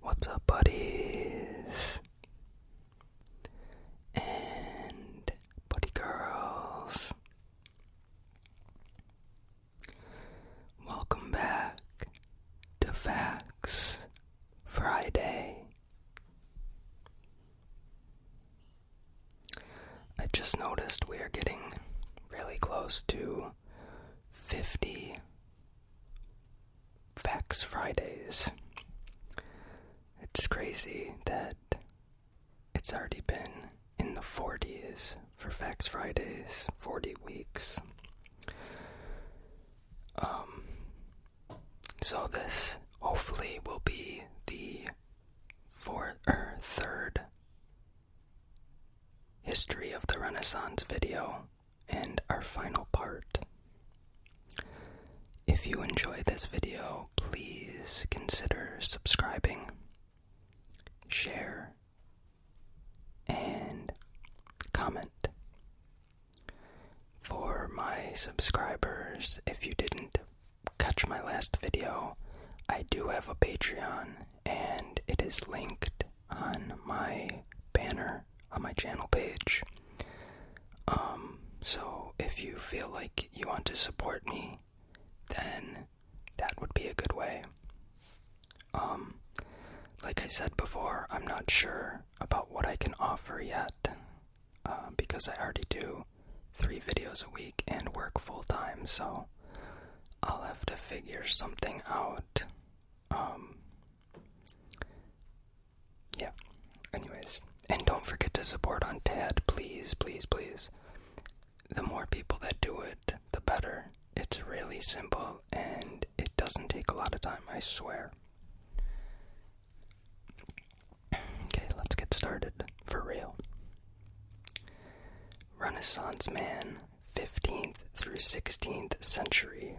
What's up, buddies? And buddy girls. Welcome back to Facts Friday. I just noticed we are getting really close to 50 Facts Fridays. It's crazy that it's already been in the 40s for Facts Fridays, 40 weeks. Um, so this hopefully will be the fourth or third History of the Renaissance video and our final part. If you enjoy this video, please consider subscribing, share, and comment. For my subscribers, if you didn't catch my last video, I do have a Patreon and it is linked on my banner on my channel page. Um, so if you feel like you want to support me, then that would be a good way. Um, like I said before, I'm not sure about what I can offer yet uh, because I already do three videos a week and work full time, so I'll have to figure something out. Um, yeah. Anyways, and don't forget to support on TED, please, please, please. The more people that do it, the better. It's really simple and it doesn't take a lot of time, I swear. Okay, let's get started for real. Renaissance Man 15th through 16th century.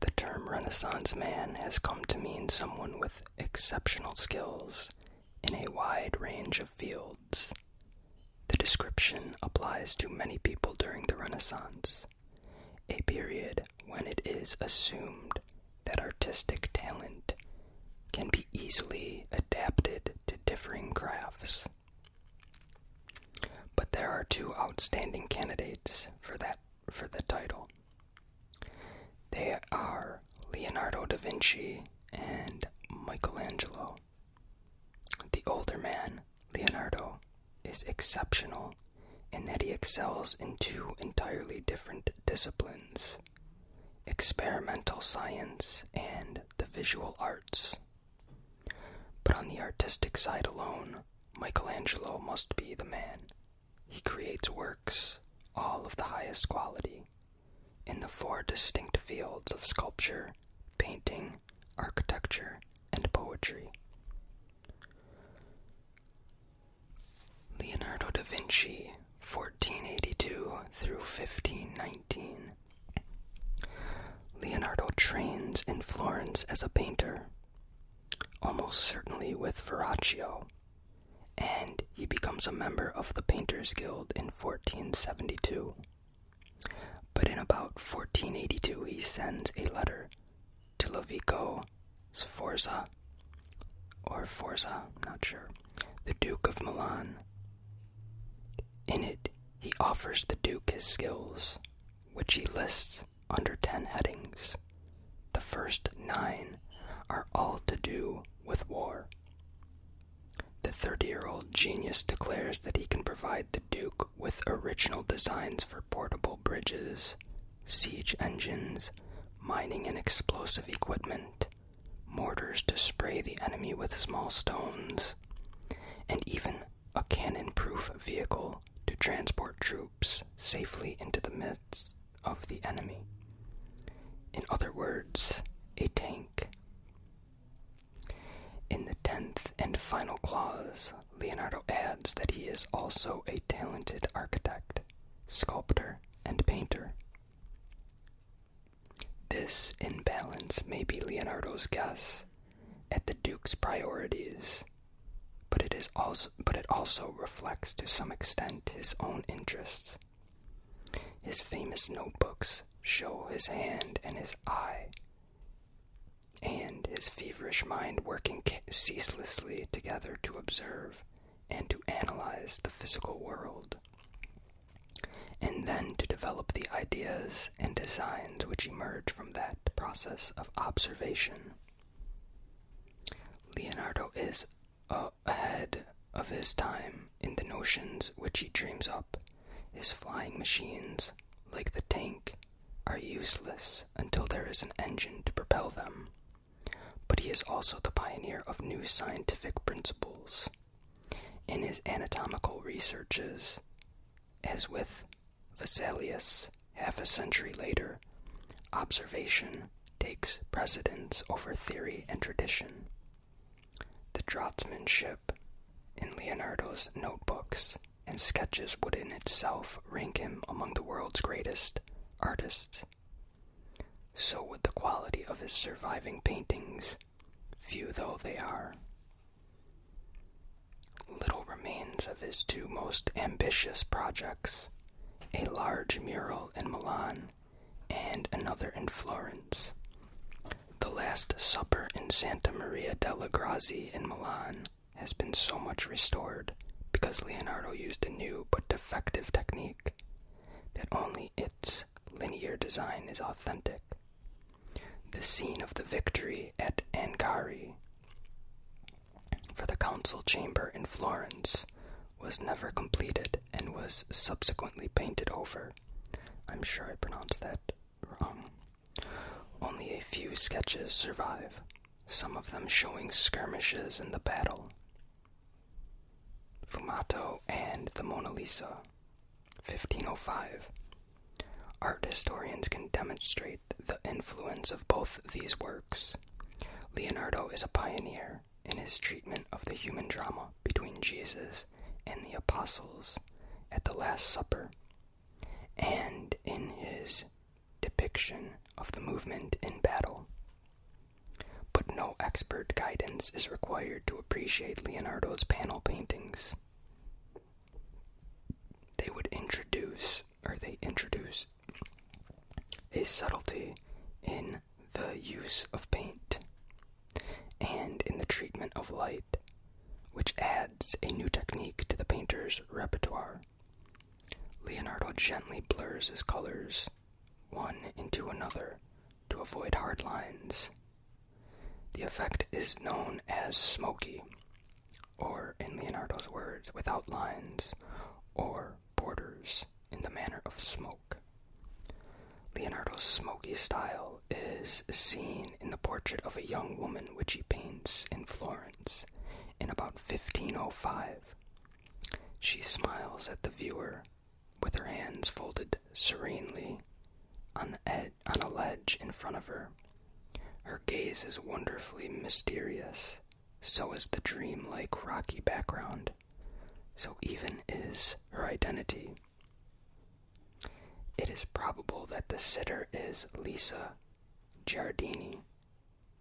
The term Renaissance man has come to mean someone with exceptional skills in a wide range of fields. The description applies to many people during the Renaissance, a period when it is assumed that artistic talent can be easily adapted to differing crafts. But there are two outstanding candidates for that for the title. They are Leonardo da Vinci and Michelangelo. The older man, Leonardo, is exceptional in that he excels in two entirely different disciplines experimental science and the visual arts. But on the artistic side alone, Michelangelo must be the man. He creates works, all of the highest quality, in the four distinct fields of sculpture, painting, architecture, and poetry. Leonardo da Vinci, 1482 through 1519. Leonardo trains in Florence as a painter, almost certainly with Verrocchio, and he becomes a member of the Painters Guild in 1472. But in about 1482, he sends a letter to Lovico Sforza, or Forza, not sure, the Duke of Milan, in it, he offers the Duke his skills, which he lists under ten headings. The first nine are all to do with war. The 30 year old genius declares that he can provide the Duke with original designs for portable bridges, siege engines, mining and explosive equipment, mortars to spray the enemy with small stones, and even a cannon proof vehicle to transport troops safely into the midst of the enemy. In other words, a tank. In the tenth and final clause, Leonardo adds that he is also a talented architect, sculptor, and painter. This imbalance may be Leonardo's guess at the Duke's priorities, but it, is also, but it also reflects to some extent his own interests. His famous notebooks show his hand and his eye, and his feverish mind working ceaselessly together to observe and to analyze the physical world and then to develop the ideas and designs which emerge from that process of observation. Leonardo is ahead of his time in the notions which he dreams up. His flying machines, like the tank, are useless until there is an engine to propel them. But he is also the pioneer of new scientific principles. In his anatomical researches, as with Vesalius half a century later, observation takes precedence over theory and tradition. The draughtsmanship in Leonardo's notebooks and sketches would in itself rank him among the world's greatest artists. So would the quality of his surviving paintings few though they are. Little remains of his two most ambitious projects a large mural in Milan and another in Florence. The Last Supper in Santa Maria della Grazia in Milan has been so much restored because Leonardo used a new but defective technique that only its linear design is authentic the scene of the victory at Angari. For the council chamber in Florence was never completed and was subsequently painted over. I'm sure I pronounced that wrong. Only a few sketches survive, some of them showing skirmishes in the battle. Fumato and the Mona Lisa 1505. Art historians can demonstrate the influence of both these works. Leonardo is a pioneer in his treatment of the human drama between Jesus and the apostles at the Last Supper, and in his depiction of the movement in battle. But no expert guidance is required to appreciate Leonardo's panel paintings they would introduce, or they introduce, a subtlety in the use of paint and in the treatment of light, which adds a new technique to the painter's repertoire. Leonardo gently blurs his colors one into another to avoid hard lines the effect is known as smoky, or in Leonardo's words, without lines or borders in the manner of smoke. Leonardo's smoky style is seen in the portrait of a young woman which he paints in Florence in about 1505. She smiles at the viewer with her hands folded serenely on, the ed on a ledge in front of her. Her gaze is wonderfully mysterious, so is the dreamlike rocky background, so even is her identity. It is probable that the sitter is Lisa Giardini,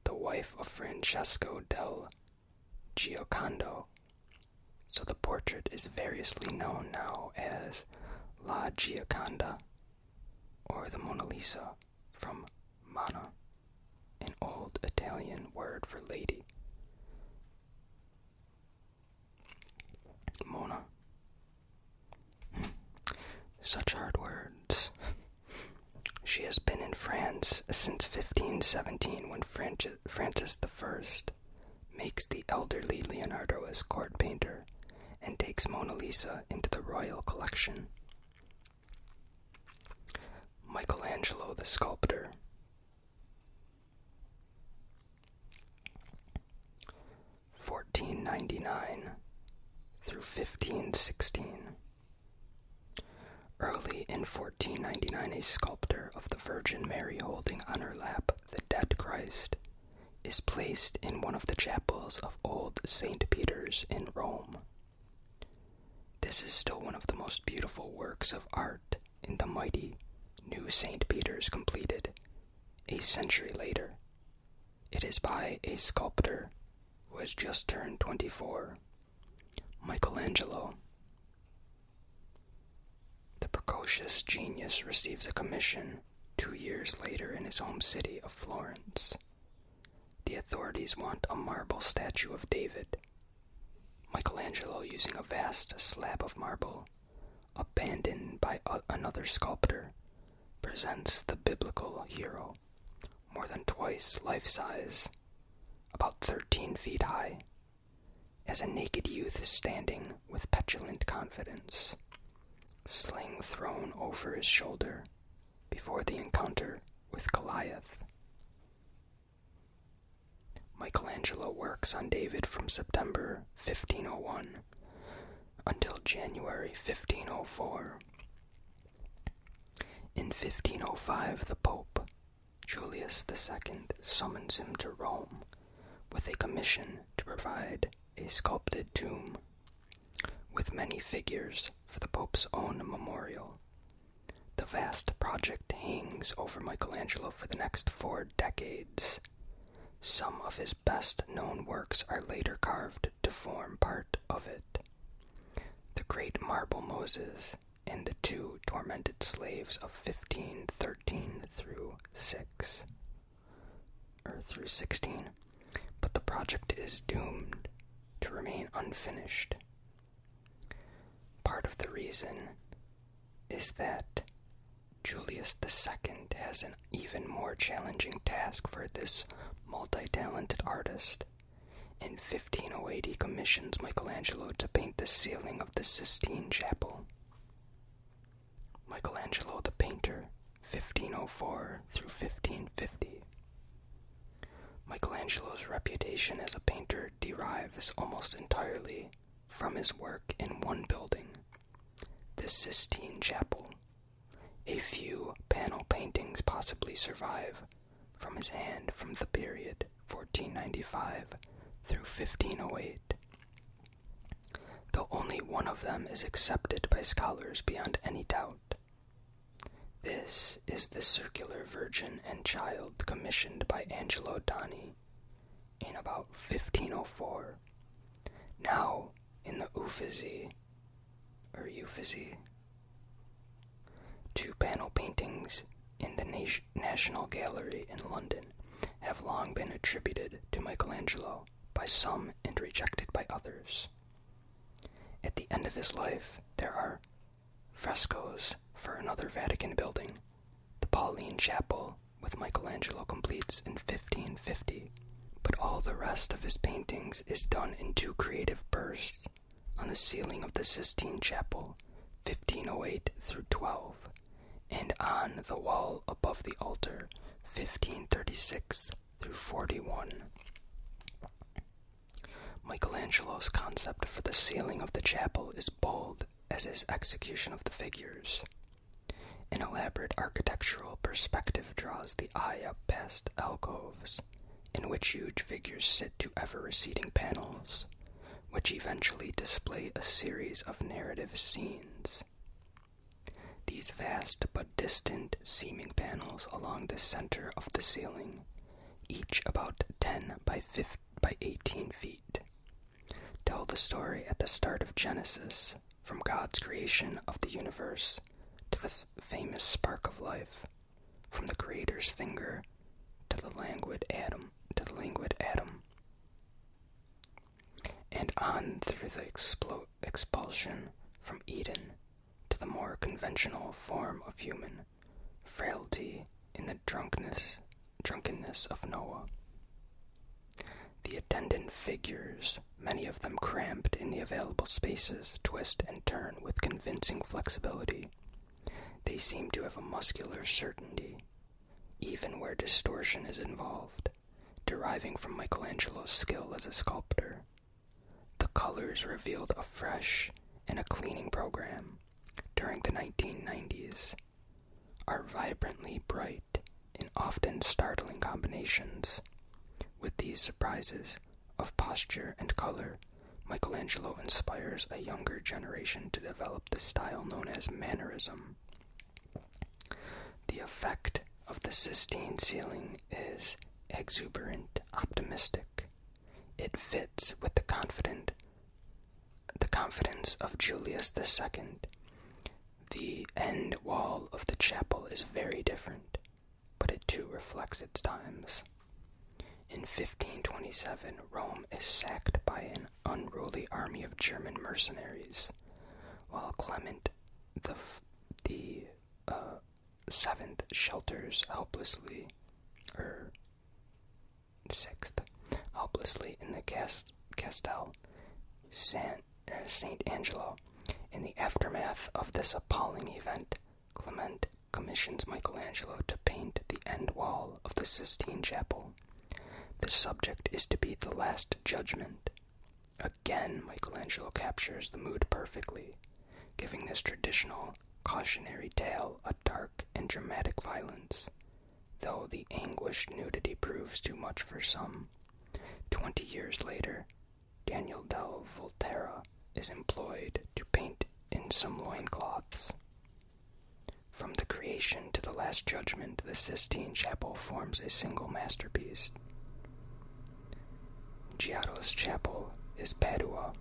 the wife of Francesco del Giocondo, so the portrait is variously known now as La Gioconda or the Mona Lisa from Mona, an old Italian word for lady. Mona. Such hard words. she has been in France since 1517 when Francis I makes the elderly Leonardo a court painter, and takes Mona Lisa into the royal collection. Michelangelo the sculptor. Fourteen ninety nine through fifteen sixteen. Early in fourteen ninety nine a sculptor of the Virgin Mary holding on her lap the dead Christ is placed in one of the chapels of old St. Peter's in Rome. This is still one of the most beautiful works of art in the mighty new St. Peter's completed a century later. It is by a sculptor who has just turned 24, Michelangelo. The precocious genius receives a commission two years later in his home city of Florence. The authorities want a marble statue of David. Michelangelo, using a vast slab of marble, abandoned by another sculptor, presents the biblical hero, more than twice life size, about 13 feet high, as a naked youth is standing with petulant confidence, sling thrown over his shoulder before the encounter with Goliath. Michelangelo works on David from September 1501 until January 1504. In 1505, the Pope, Julius II, summons him to Rome with a commission to provide a sculpted tomb with many figures for the Pope's own memorial. The vast project hangs over Michelangelo for the next four decades. Some of his best known works are later carved to form part of it. The Great Marble Moses and the Two Tormented Slaves of 1513 through 6 or through 16, but the project is doomed to remain unfinished. Part of the reason is that Julius II has an even more challenging task for this multi talented artist. In 1508, he commissions Michelangelo to paint the ceiling of the Sistine Chapel. Michelangelo the painter, 1504 through 1550. Michelangelo's reputation as a painter derives almost entirely from his work in one building, the Sistine Chapel. A few panel paintings possibly survive from his hand from the period 1495 through 1508 though only one of them is accepted by scholars beyond any doubt. This is the circular Virgin and Child commissioned by Angelo Doni in about 1504. Now in the Uffizi, or Uffizi, two panel paintings in the National Gallery in London have long been attributed to Michelangelo by some and rejected by others. At the end of his life, there are frescoes for another Vatican building, the Pauline Chapel, with Michelangelo completes in 1550, but all the rest of his paintings is done in two creative bursts on the ceiling of the Sistine Chapel, 1508 through 12 and on the wall above the altar, 1536 through 41. Michelangelo's concept for the ceiling of the chapel is bold as is execution of the figures. An elaborate architectural perspective draws the eye up past alcoves, in which huge figures sit to ever receding panels, which eventually display a series of narrative scenes. These vast but distant seeming panels along the center of the ceiling, each about 10 by, 15, by 18 feet, tell the story at the start of Genesis, from God's creation of the universe to the famous spark of life, from the Creator's finger to the languid atom. To the languid atom and on through the expulsion from Eden to the more conventional form of human frailty in the drunkenness of Noah. The attendant figures, many of them cramped in the available spaces, twist and turn with convincing flexibility. They seem to have a muscular certainty, even where distortion is involved deriving from Michelangelo's skill as a sculptor. The colors revealed afresh in a cleaning program during the 1990s are vibrantly bright in often startling combinations. With these surprises of posture and color, Michelangelo inspires a younger generation to develop the style known as Mannerism. The effect of the Sistine ceiling is exuberant, optimistic. It fits with the confident the confidence of Julius II. The end wall of the chapel is very different, but it too reflects its times. In 1527, Rome is sacked by an unruly army of German mercenaries, while Clement the, the uh, Seventh shelters helplessly, or er, sixth, helplessly in the cast, Castel San, uh, Saint Angelo. In the aftermath of this appalling event, Clement commissions Michelangelo to paint the end wall of the Sistine Chapel. The subject is to be the Last Judgment. Again, Michelangelo captures the mood perfectly, giving this traditional cautionary tale a dark and dramatic violence, though the anguished nudity proves too much for some. Twenty years later, Daniel del Volterra is employed to paint in some loin cloths. From the creation to the Last Judgment, the Sistine Chapel forms a single masterpiece. Giotto's chapel is Padua.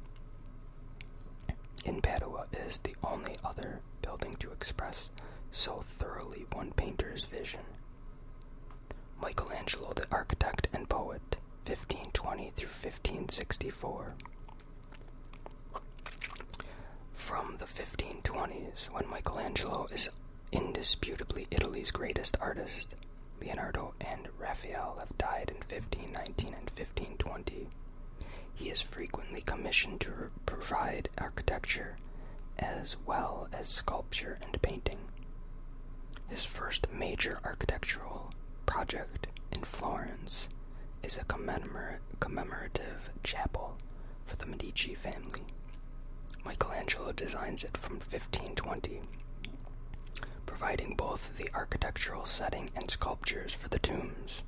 In Padua is the only other building to express so thoroughly one painter's vision. Michelangelo, the architect and poet, 1520 through 1564 from the 1520s when Michelangelo is indisputably Italy's greatest artist. Leonardo and Raphael have died in 1519 and 1520. He is frequently commissioned to provide architecture as well as sculpture and painting. His first major architectural project in Florence is a commemorative commemorative chapel for the Medici family. Michelangelo designs it from 1520, providing both the architectural setting and sculptures for the tombs.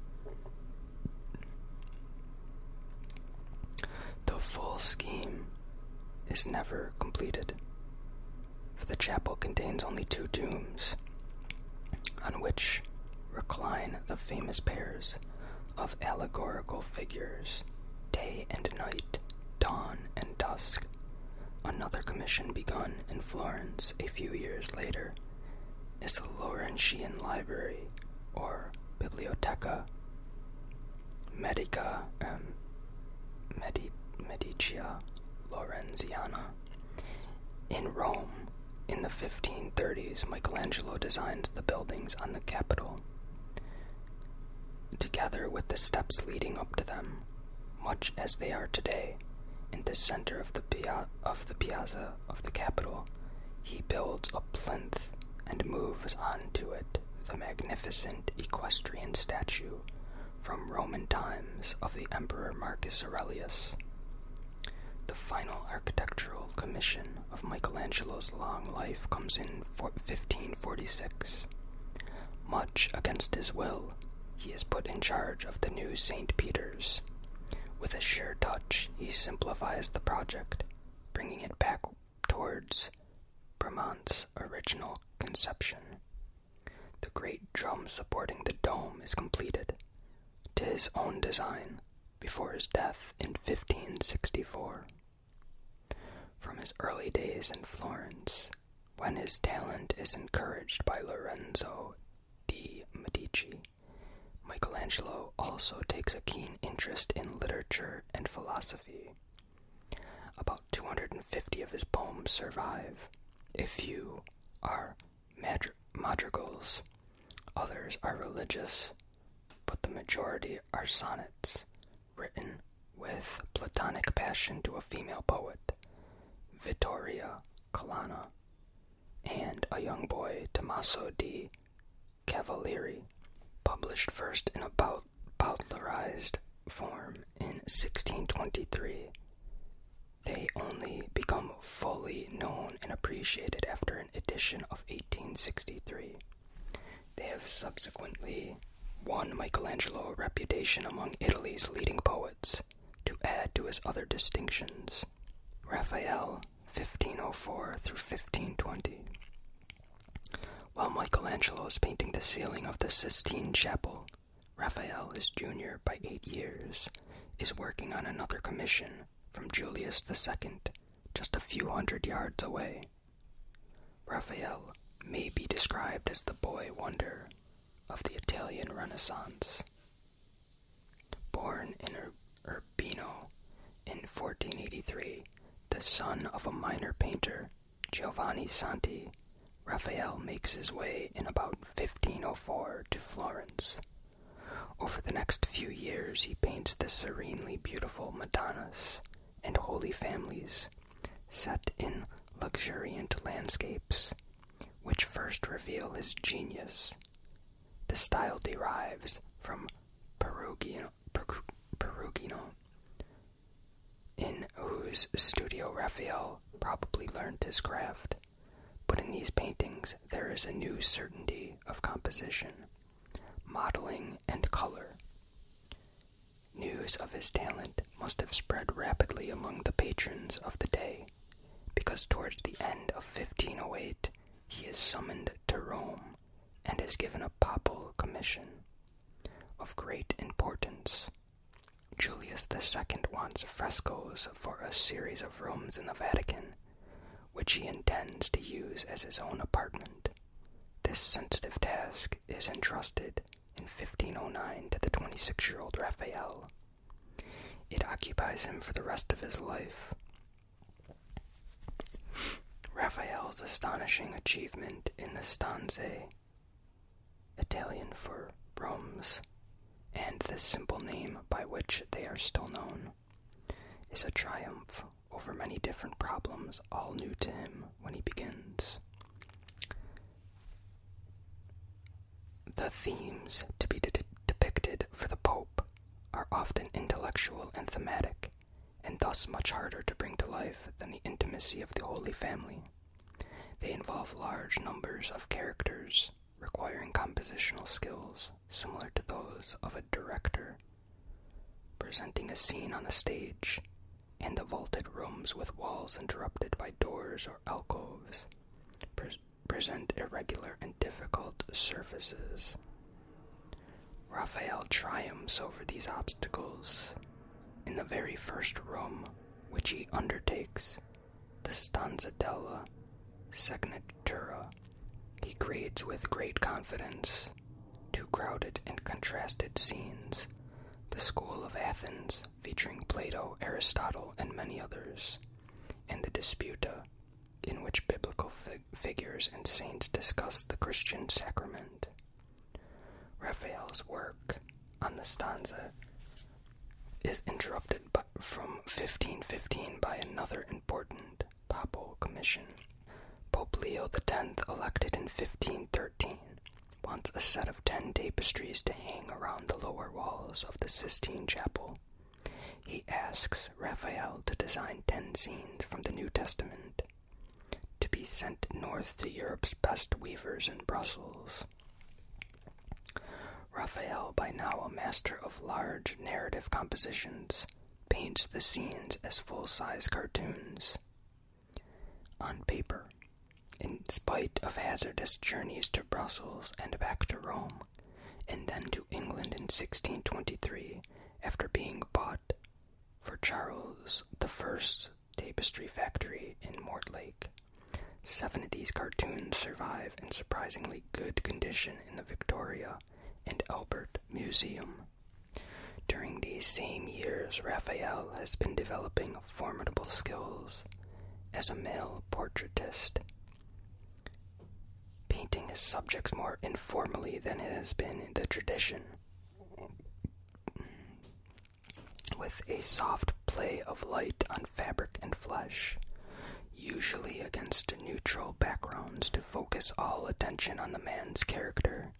The full scheme is never completed, for the chapel contains only two tombs on which recline the famous pairs of allegorical figures, day and night, dawn and dusk. Another commission begun in Florence a few years later is the Laurentian Library, or Biblioteca Medica um, Medi- Laurenziana. In Rome, in the 1530s, Michelangelo designed the buildings on the on Together with the steps leading up to them, much as they are today, in the center of the, pia of the piazza of the Capitol, he builds a plinth and moves onto it the magnificent equestrian statue from Roman times of the Emperor Marcus Aurelius. The final architectural commission of Michelangelo's long life comes in 1546. Much against his will, he is put in charge of the new St. Peter's. With a sure touch, he simplifies the project, bringing it back towards Bramante's original conception. The great drum supporting the dome is completed, to his own design, before his death in 1564. From his early days in Florence, when his talent is encouraged by Lorenzo de' Medici, Michelangelo also takes a keen interest in literature and philosophy. About 250 of his poems survive. A few are madri madrigals, Others are religious, but the majority are sonnets, written with platonic passion to a female poet, Vittoria Colonna, and a young boy, Tommaso di Cavalieri, published first in a bout form in 1623. They only become fully known and appreciated after an edition of. 1863. They have subsequently won Michelangelo a reputation among Italy's leading poets. To add to his other distinctions, Raphael 1504 through 1520. While Michelangelo is painting the ceiling of the Sistine Chapel, Raphael, his junior by eight years, is working on another commission from Julius II just a few hundred yards away. Raphael may be described as the boy wonder of the Italian Renaissance. Born in Urbino in 1483, the son of a minor painter, Giovanni Santi, Raphael makes his way in about 1504 to Florence over the next few years, he paints the serenely beautiful Madonnas and Holy Families set in luxuriant landscapes, which first reveal his genius. The style derives from Perugino, in whose studio Raphael probably learned his craft. But in these paintings, there is a new certainty of composition modeling, and color. News of his talent must have spread rapidly among the patrons of the day, because towards the end of 1508 he is summoned to Rome and is given a papal commission of great importance. Julius the Second wants frescoes for a series of rooms in the Vatican which he intends to use as his own apartment. This sensitive task is entrusted in 1509 to the 26 year old Raphael. It occupies him for the rest of his life. Raphael's astonishing achievement in the Stanze, Italian for rooms, and the simple name by which they are still known, is a triumph over many different problems, all new to him when he begins. The themes to be depicted for the Pope are often intellectual and thematic, and thus much harder to bring to life than the intimacy of the Holy Family. They involve large numbers of characters, requiring compositional skills similar to those of a director presenting a scene on the stage and the vaulted rooms with walls interrupted by doors or alcoves present irregular and difficult surfaces. Raphael triumphs over these obstacles. In the very first room, which he undertakes, the stanza della Segnatura he creates with great confidence two crowded and contrasted scenes the School of Athens, featuring Plato, Aristotle, and many others, and the Disputa, in which biblical figures and saints discuss the Christian sacrament. Raphael's work on the stanza is interrupted by, from 1515 by another important Papal Commission. Pope Leo X, elected in 1513, wants a set of ten tapestries to hang around the lower walls of the Sistine Chapel. He asks Raphael to design ten scenes from the New Testament to be sent north to Europe's best weavers in Brussels. Raphael, by now a master of large narrative compositions, paints the scenes as full size cartoons. On paper, in spite of hazardous journeys to Brussels and back to Rome, and then to England in 1623 after being bought for Charles I's tapestry factory in Mortlake. Seven of these cartoons survive in surprisingly good condition in the Victoria and Albert Museum. During these same years, Raphael has been developing formidable skills as a male portraitist, painting his subjects more informally than has been the tradition, with a soft play of light on fabric and flesh usually against neutral backgrounds, to focus all attention on the man's character.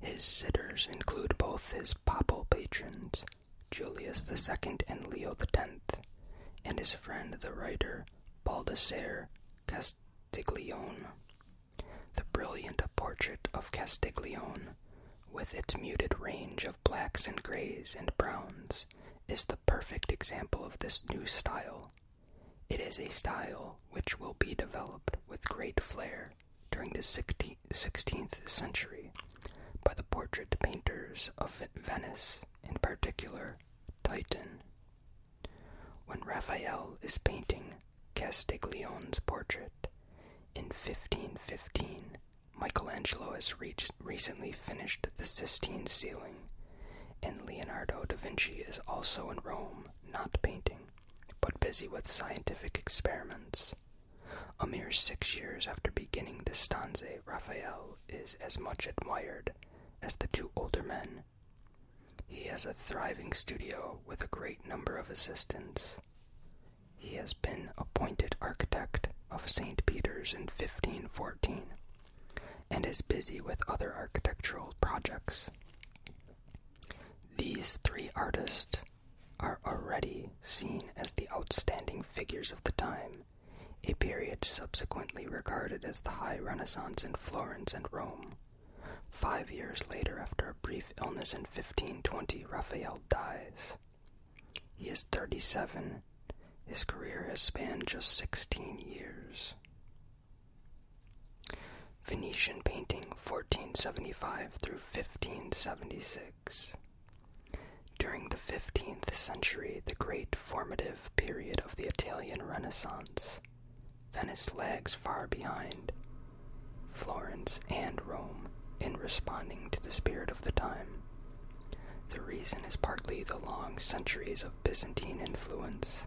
His sitters include both his papal patrons, Julius II and Leo X, and his friend the writer Baldassare Castiglione. The brilliant portrait of Castiglione, with its muted range of blacks and grays and browns, is the perfect example of this new style, it is a style which will be developed with great flair during the 16th century by the portrait painters of Venice, in particular Titian. When Raphael is painting Castiglione's portrait in 1515, Michelangelo has recently finished the Sistine ceiling and Leonardo da Vinci is also in Rome, not painting, but busy with scientific experiments. A mere six years after beginning the stanze, Raphael is as much admired as the two older men. He has a thriving studio with a great number of assistants. He has been appointed architect of St. Peter's in 1514 and is busy with other architectural projects. These three artists are already seen as the outstanding figures of the time, a period subsequently regarded as the High Renaissance in Florence and Rome. Five years later, after a brief illness in 1520, Raphael dies. He is 37. His career has spanned just 16 years. Venetian painting 1475 through 1576. During the 15th century, the great formative period of the Italian Renaissance, Venice lags far behind Florence and Rome in responding to the spirit of the time. The reason is partly the long centuries of Byzantine influence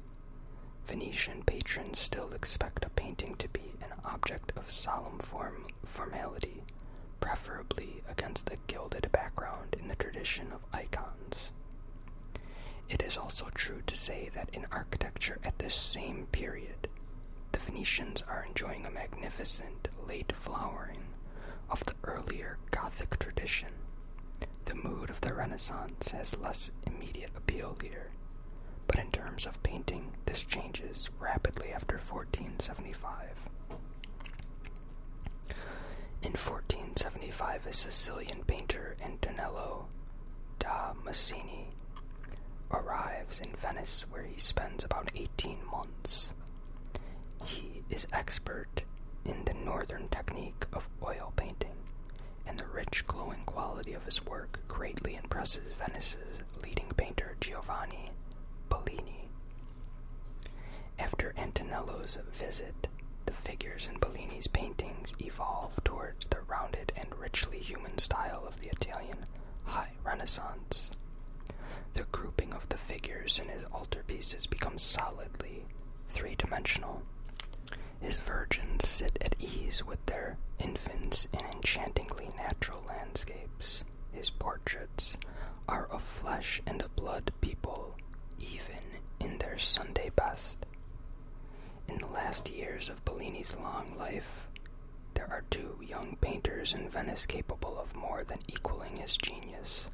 Venetian patrons still expect a painting to be an object of solemn formality, preferably against a gilded background in the tradition of icons. It is also true to say that in architecture at this same period, the Venetians are enjoying a magnificent late flowering of the earlier Gothic tradition. The mood of the Renaissance has less immediate appeal here, but in terms of painting, this changes rapidly after 1475. In 1475, a Sicilian painter Antonello da Massini arrives in Venice where he spends about 18 months. He is expert in the northern technique of oil painting and the rich glowing quality of his work greatly impresses Venice's leading painter Giovanni Bellini. After Antonello's visit, the figures in Bellini's paintings evolve towards the rounded and richly human style of the Italian High Renaissance. The grouping of the figures in his altarpieces becomes solidly three dimensional. His virgins sit at ease with their infants in enchantingly natural landscapes. His portraits are of flesh and blood people, even in their Sunday best. In the last years of Bellini's long life, there are two young painters in Venice capable of more than equaling his genius.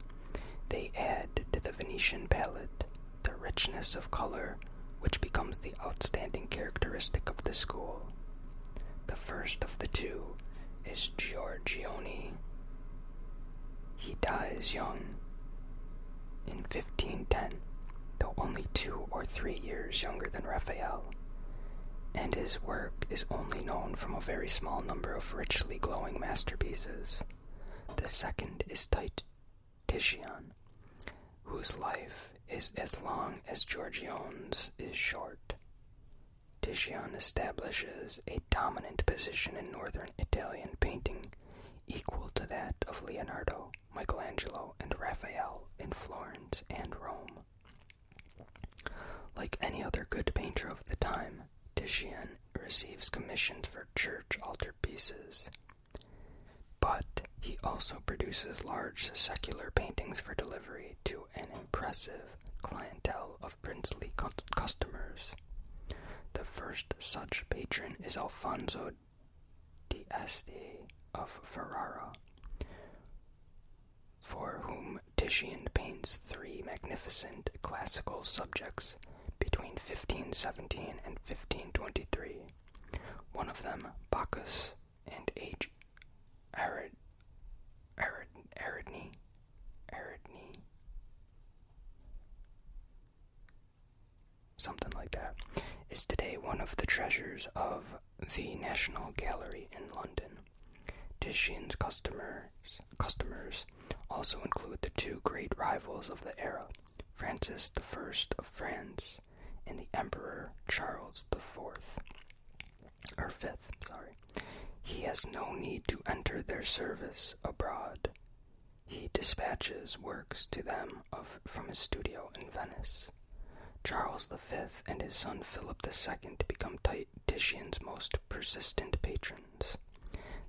They add to the Venetian palette the richness of color which becomes the outstanding characteristic of the school. The first of the two is Giorgione. He dies young. In 1510, though only two or three years younger than Raphael, and his work is only known from a very small number of richly glowing masterpieces. The second is Tite Titian, whose life is as long as Giorgione's is short. Titian establishes a dominant position in northern Italian painting, equal to that of Leonardo, Michelangelo, and Raphael in Florence and Rome. Like any other good painter of the time, Titian receives commissions for church altarpieces, but he also produces large secular paintings for delivery to an impressive clientele of princely customers. The first such patron is Alfonso d'Este of Ferrara, for whom Titian paints three magnificent classical subjects between 1517 and 1523. One of them, Bacchus and H. Arid, Aridne, Aridne, something like that, is today one of the treasures of the National Gallery in London. Titian's customers, customers also include the two great rivals of the era, Francis I of France, and the Emperor Charles IV, or V. sorry. He has no need to enter their service abroad. He dispatches works to them from his studio in Venice. Charles V and his son Philip II become Titian's most persistent patron.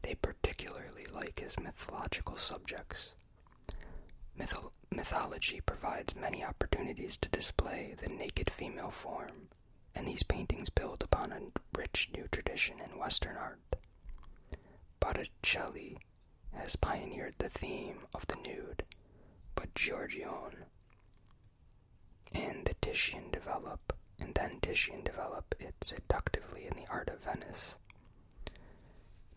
They particularly like his mythological subjects. mythology provides many opportunities to display the naked female form, and these paintings build upon a rich new tradition in Western art. Botticelli has pioneered the theme of the nude, but Giorgione and the Titian develop and then Titian develop it seductively in the art of Venice.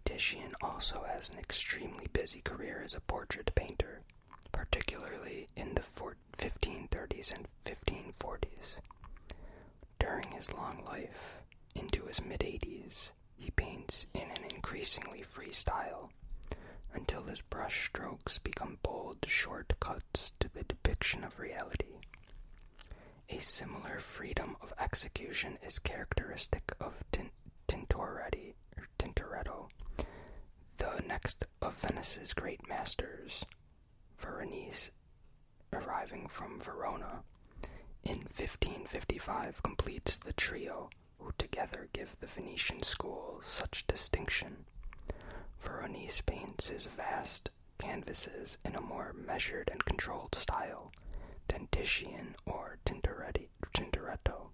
Titian also has an extremely busy career as a portrait painter, particularly in the 1530s and 1540s. During his long life, into his mid 80s, he paints in an increasingly free style until his brush strokes become bold shortcuts to the depiction of reality. A similar freedom of execution is characteristic of Tintoretto, the next of Venice's great masters, Veronese, arriving from Verona. In 1555 completes the trio who together give the Venetian school such distinction. Veronese paints his vast canvases in a more measured and controlled style than Titian or Tintoretto.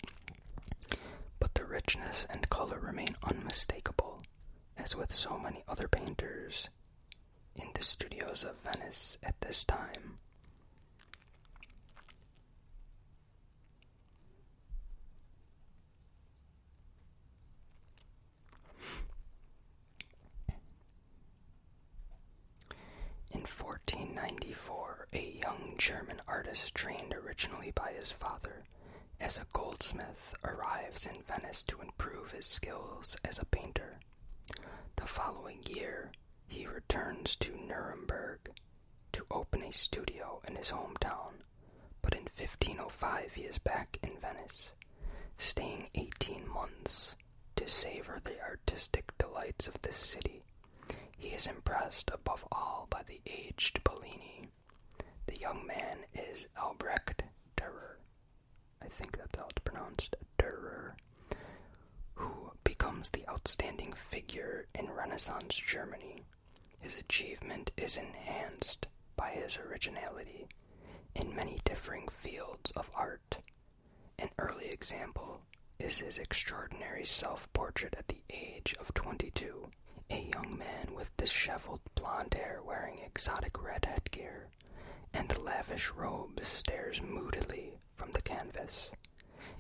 But the richness and color remain unmistakable, as with so many other painters in the studios of Venice at this time. In 1494, a young German artist trained originally by his father as a goldsmith arrives in Venice to improve his skills as a painter. The following year, he returns to Nuremberg to open a studio in his hometown, but in 1505 he is back in Venice, staying 18 months to savor the artistic delights of this city. He is impressed above all by the aged Bellini. The young man is Albrecht Dürer. I think that's how it's pronounced, Dürer, who becomes the outstanding figure in Renaissance Germany. His achievement is enhanced by his originality in many differing fields of art. An early example is his extraordinary self portrait at the age of 22, a young man with disheveled blond hair wearing exotic red headgear and lavish robes stares moodily from the canvas.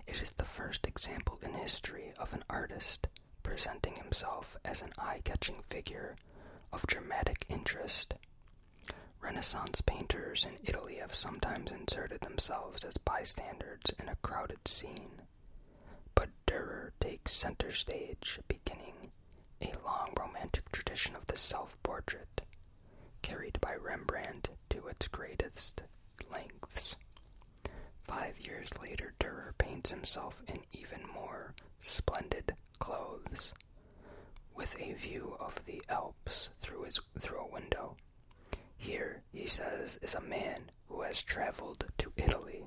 It is the first example in history of an artist presenting himself as an eye catching figure of dramatic interest. Renaissance painters in Italy have sometimes inserted themselves as bystanders in a crowded scene, but Durer takes center stage, beginning a long romantic tradition of the self portrait, carried by Rembrandt to its greatest lengths. Five years later, Durer paints himself in even more splendid clothes with a view of the Alps through, his, through a window. Here, he says, is a man who has traveled to Italy.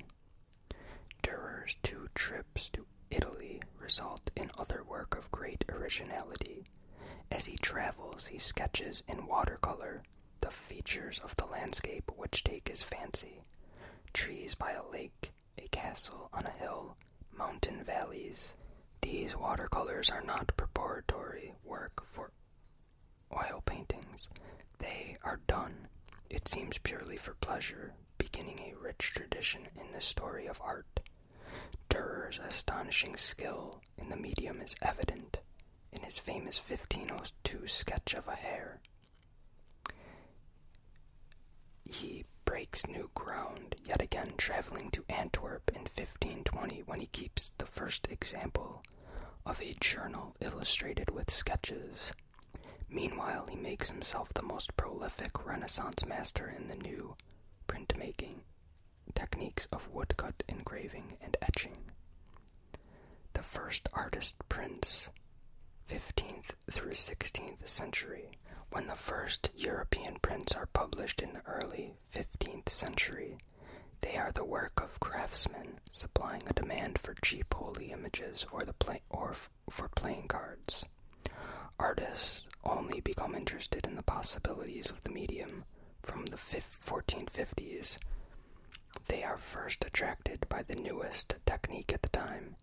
Durer's two trips to Italy result in other work of great originality. As he travels, he sketches in watercolor the features of the landscape which take his fancy trees by a lake, a castle on a hill, mountain valleys. These watercolors are not preparatory work for oil paintings. They are done, it seems purely for pleasure, beginning a rich tradition in the story of art. Durer's astonishing skill in the medium is evident in his famous 1502 sketch of a hare. He breaks new ground, yet again traveling to Antwerp in 1520 when he keeps the first example of a journal illustrated with sketches. Meanwhile, he makes himself the most prolific Renaissance master in the new printmaking techniques of woodcut engraving and etching. The first artist prints 15th through 16th century when the first European prints are published in the early 15th century, they are the work of craftsmen, supplying a demand for cheap holy images or the or for playing cards. Artists only become interested in the possibilities of the medium from the 1450s. They are first attracted by the newest technique at the time,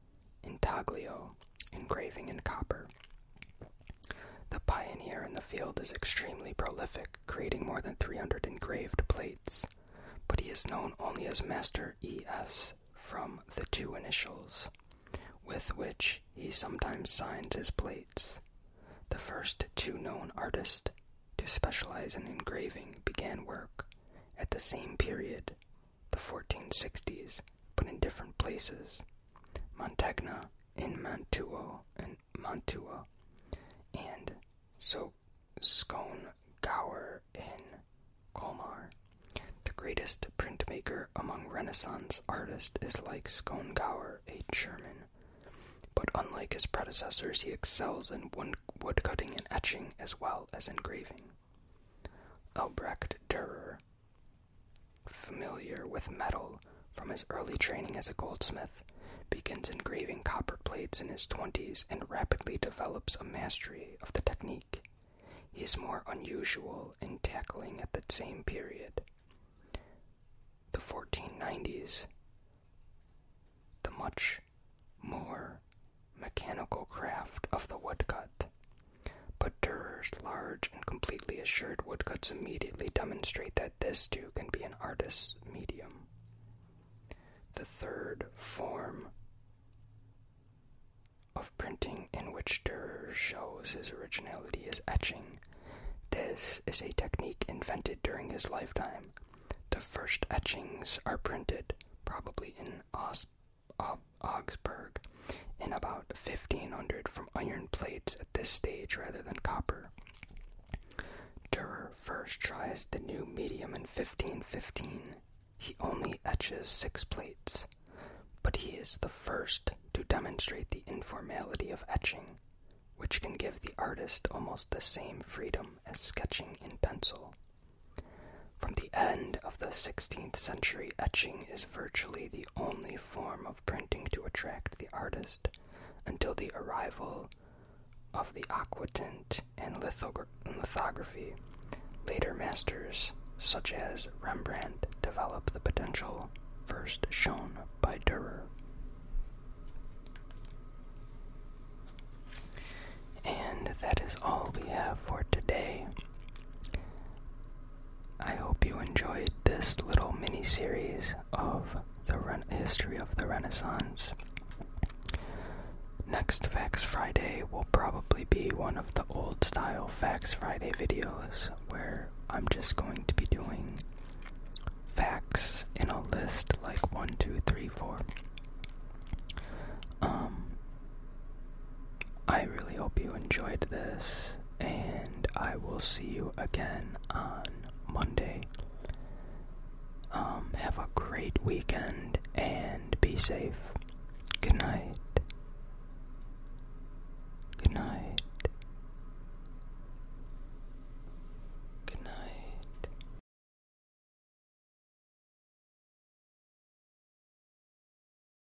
intaglio, engraving in copper. The pioneer in the field is extremely prolific, creating more than 300 engraved plates, but he is known only as Master E.S. from the two initials, with which he sometimes signs his plates. The first two known artists to specialize in engraving began work at the same period the 1460s, but in different places. Montegna in Mantua and Mantua, and so Scone Gower in Colmar. The greatest printmaker among Renaissance artists is like Scone Gower, a German, but unlike his predecessors, he excels in woodcutting and etching as well as engraving. Albrecht Dürer Familiar with metal from his early training as a goldsmith, begins engraving copper plates in his 20s and rapidly develops a mastery of the technique. He is more unusual in tackling at that same period. The 1490s, the much more mechanical craft of the woodcut. But Durer's large and completely assured woodcuts immediately demonstrate that this too can be an artist's medium. The third form of printing in which Durer shows his originality is etching. This is a technique invented during his lifetime. The first etchings are printed, probably in Os uh, Augsburg, and about 1500 from iron plates at this stage rather than copper. Durer first tries the new medium in 1515. He only etches six plates, but he is the first to demonstrate the informality of etching, which can give the artist almost the same freedom as sketching in pencil. From the end of the 16th century, etching is virtually the only form of printing to attract the artist until the arrival of the aquatint and lithography. Later masters, such as Rembrandt, developed the potential first shown by Dürer. And that is all we have for today. I hope you enjoyed this little mini series of the history of the Renaissance. Next Facts Friday will probably be one of the old style Facts Friday videos where I'm just going to be doing facts in a list like 1, 2, 3, 4. Um, I really hope you enjoyed this, and I will see you again on Monday. Um, have a great weekend and be safe. Good night. Good night. Good night.